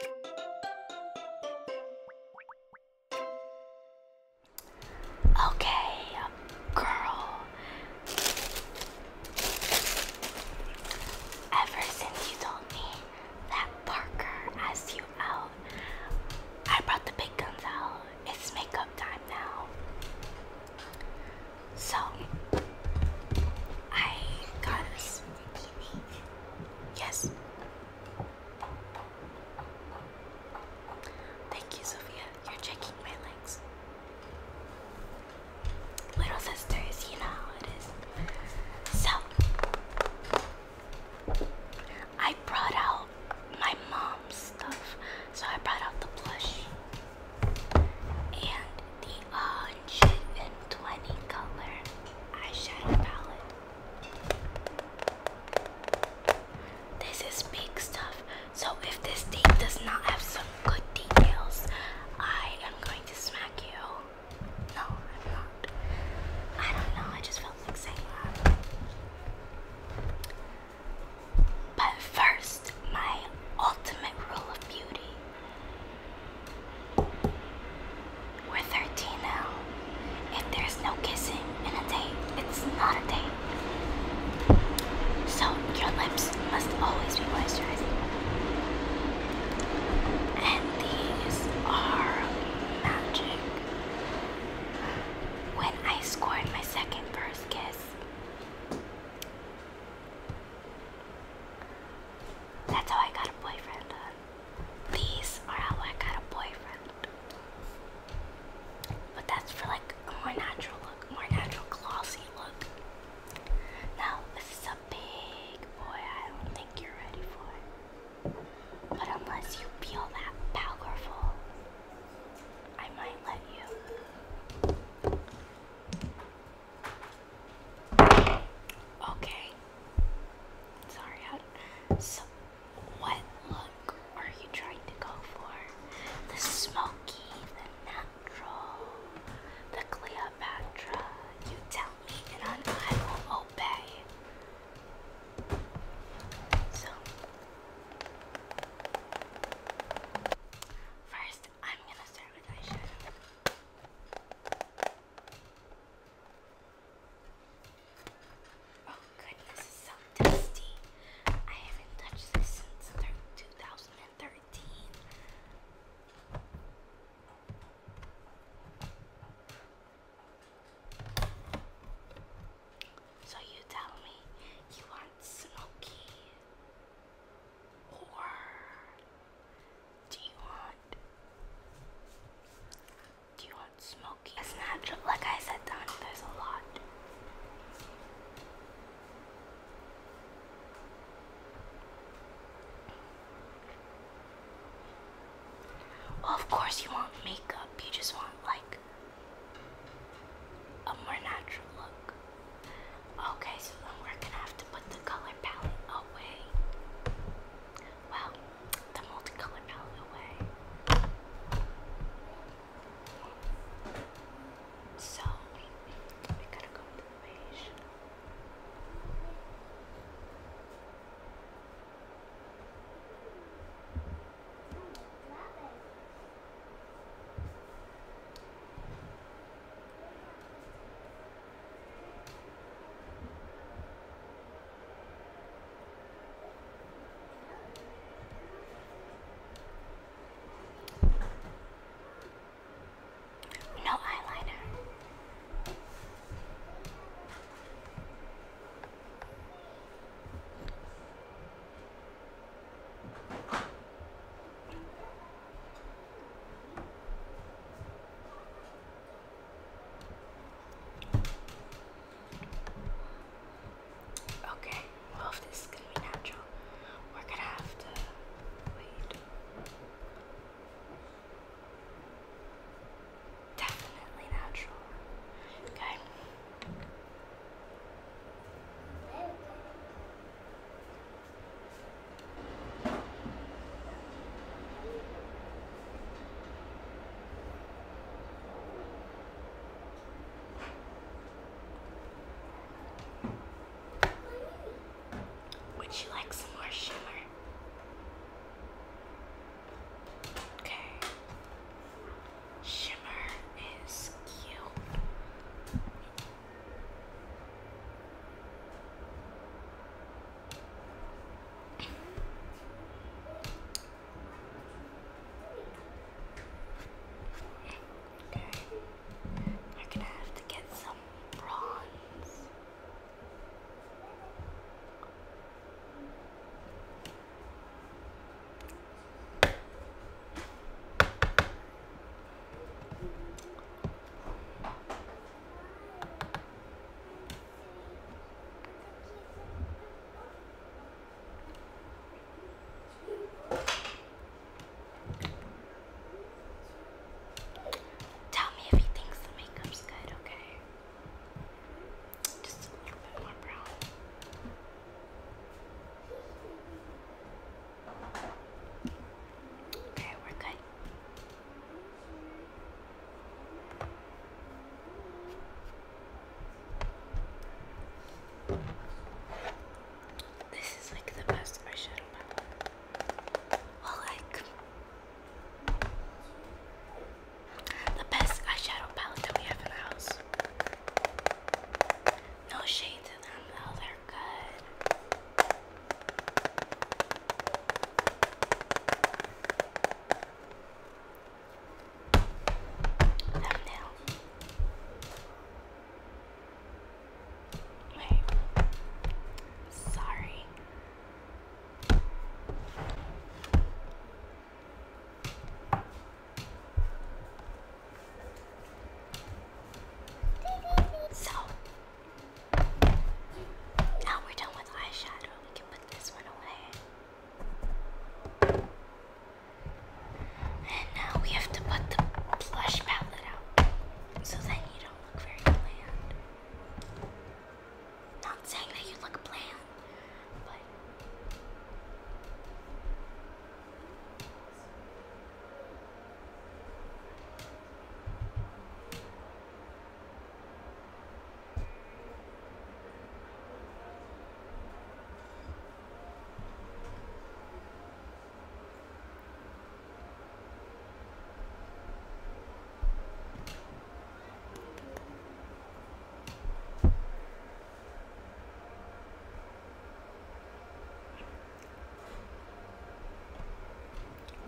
Okay, um, girl. Ever since you told me that Parker asked you out, I brought the big guns out. It's makeup time now. So, I got a Yes. Thank you, Sophia. You're checking my legs. Little sisters, you know it is. So, I brought out my mom's stuff. So, I brought out the plush and the uh, 120 color eyeshadow palette. This is big stuff. So if this date does not have some good details, I am going to smack you. No, I'm not. I don't know, I just felt like saying that. But first, my ultimate rule of beauty we're 13 now. If there's no kissing in a date, it's not a date. So your lips must always be moisturizing. And these are magic. When I scored my second first kiss, that's how I got a boyfriend. These are how I got a boyfriend. But that's for like a more natural look, more natural glossy look. Now, this is a big boy. I don't think you're ready for it. But unless you feel that powerful, I might let you. Okay. Sorry. so, what look are you trying to go for? The smoky, the natural, the Cleopatra. You tell me, and I, I will obey. So, first i I'm gonna start with eyeshadow. Oh goodness, it's so dusty. I haven't touched this since 2013. So you tell me you want smoky or do you want do you want smoky? natural like I said Don, there's a lot. of course you want makeup, you just want like a more natural look. Okay, so then we're gonna have to put the color palette away. Well, the multicolor palette away. So we gotta go with the beige. No eyeliner. Okay, well if this is gonna be natural, we're gonna have to wait. Definitely natural. Okay. Would you like some more shimmer? Okay. Shimmer is cute. Okay, we're gonna have to get some bronze. Tell me if he thinks the makeup's good, okay? Just a little bit more brown. Okay, we're good. This is like the best eyeshadow palette. Well, like the best eyeshadow palette that we have in the house. No shade to them though, they're good. Thumbnail. Wait. Sorry. So now we're done with eyeshadow. We can put this one away. And now we have to put the blush palette out so that you don't look very bland. Not saying that you look bland, but.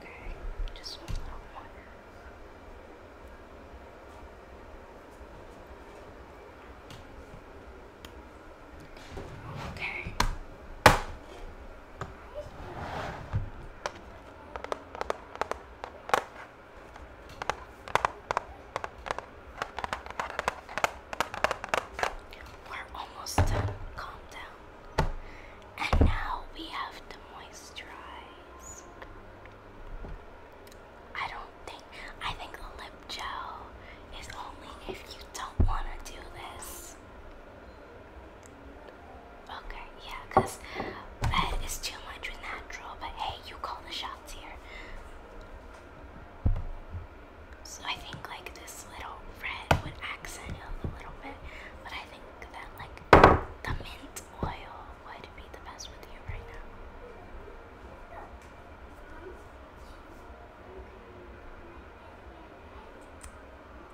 Okay, just one more one. Okay. We're almost done. Calm down. And now we have to moisturize. I don't think, I think a lip gel is only if you don't want to do this. Okay, yeah, because that uh, is that natural, but hey, you call the shots here. So I think like this little red would accent it a little bit, but I think that like the mint oil would be the best with you right now.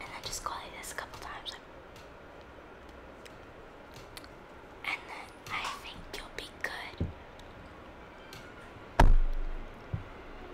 And I just got it this a couple times. And then I think you'll be good.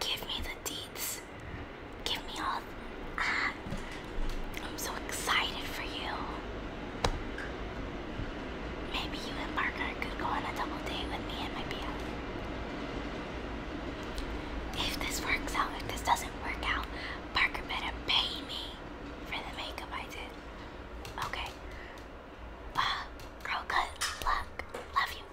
Give me the deeds give me all. I'm so excited for you. Maybe you and Parker could go on a double date with me and my BF. If this works out, if this doesn't work out, Parker better pay me for the makeup I did. Okay. Uh, girl, good luck. Love you.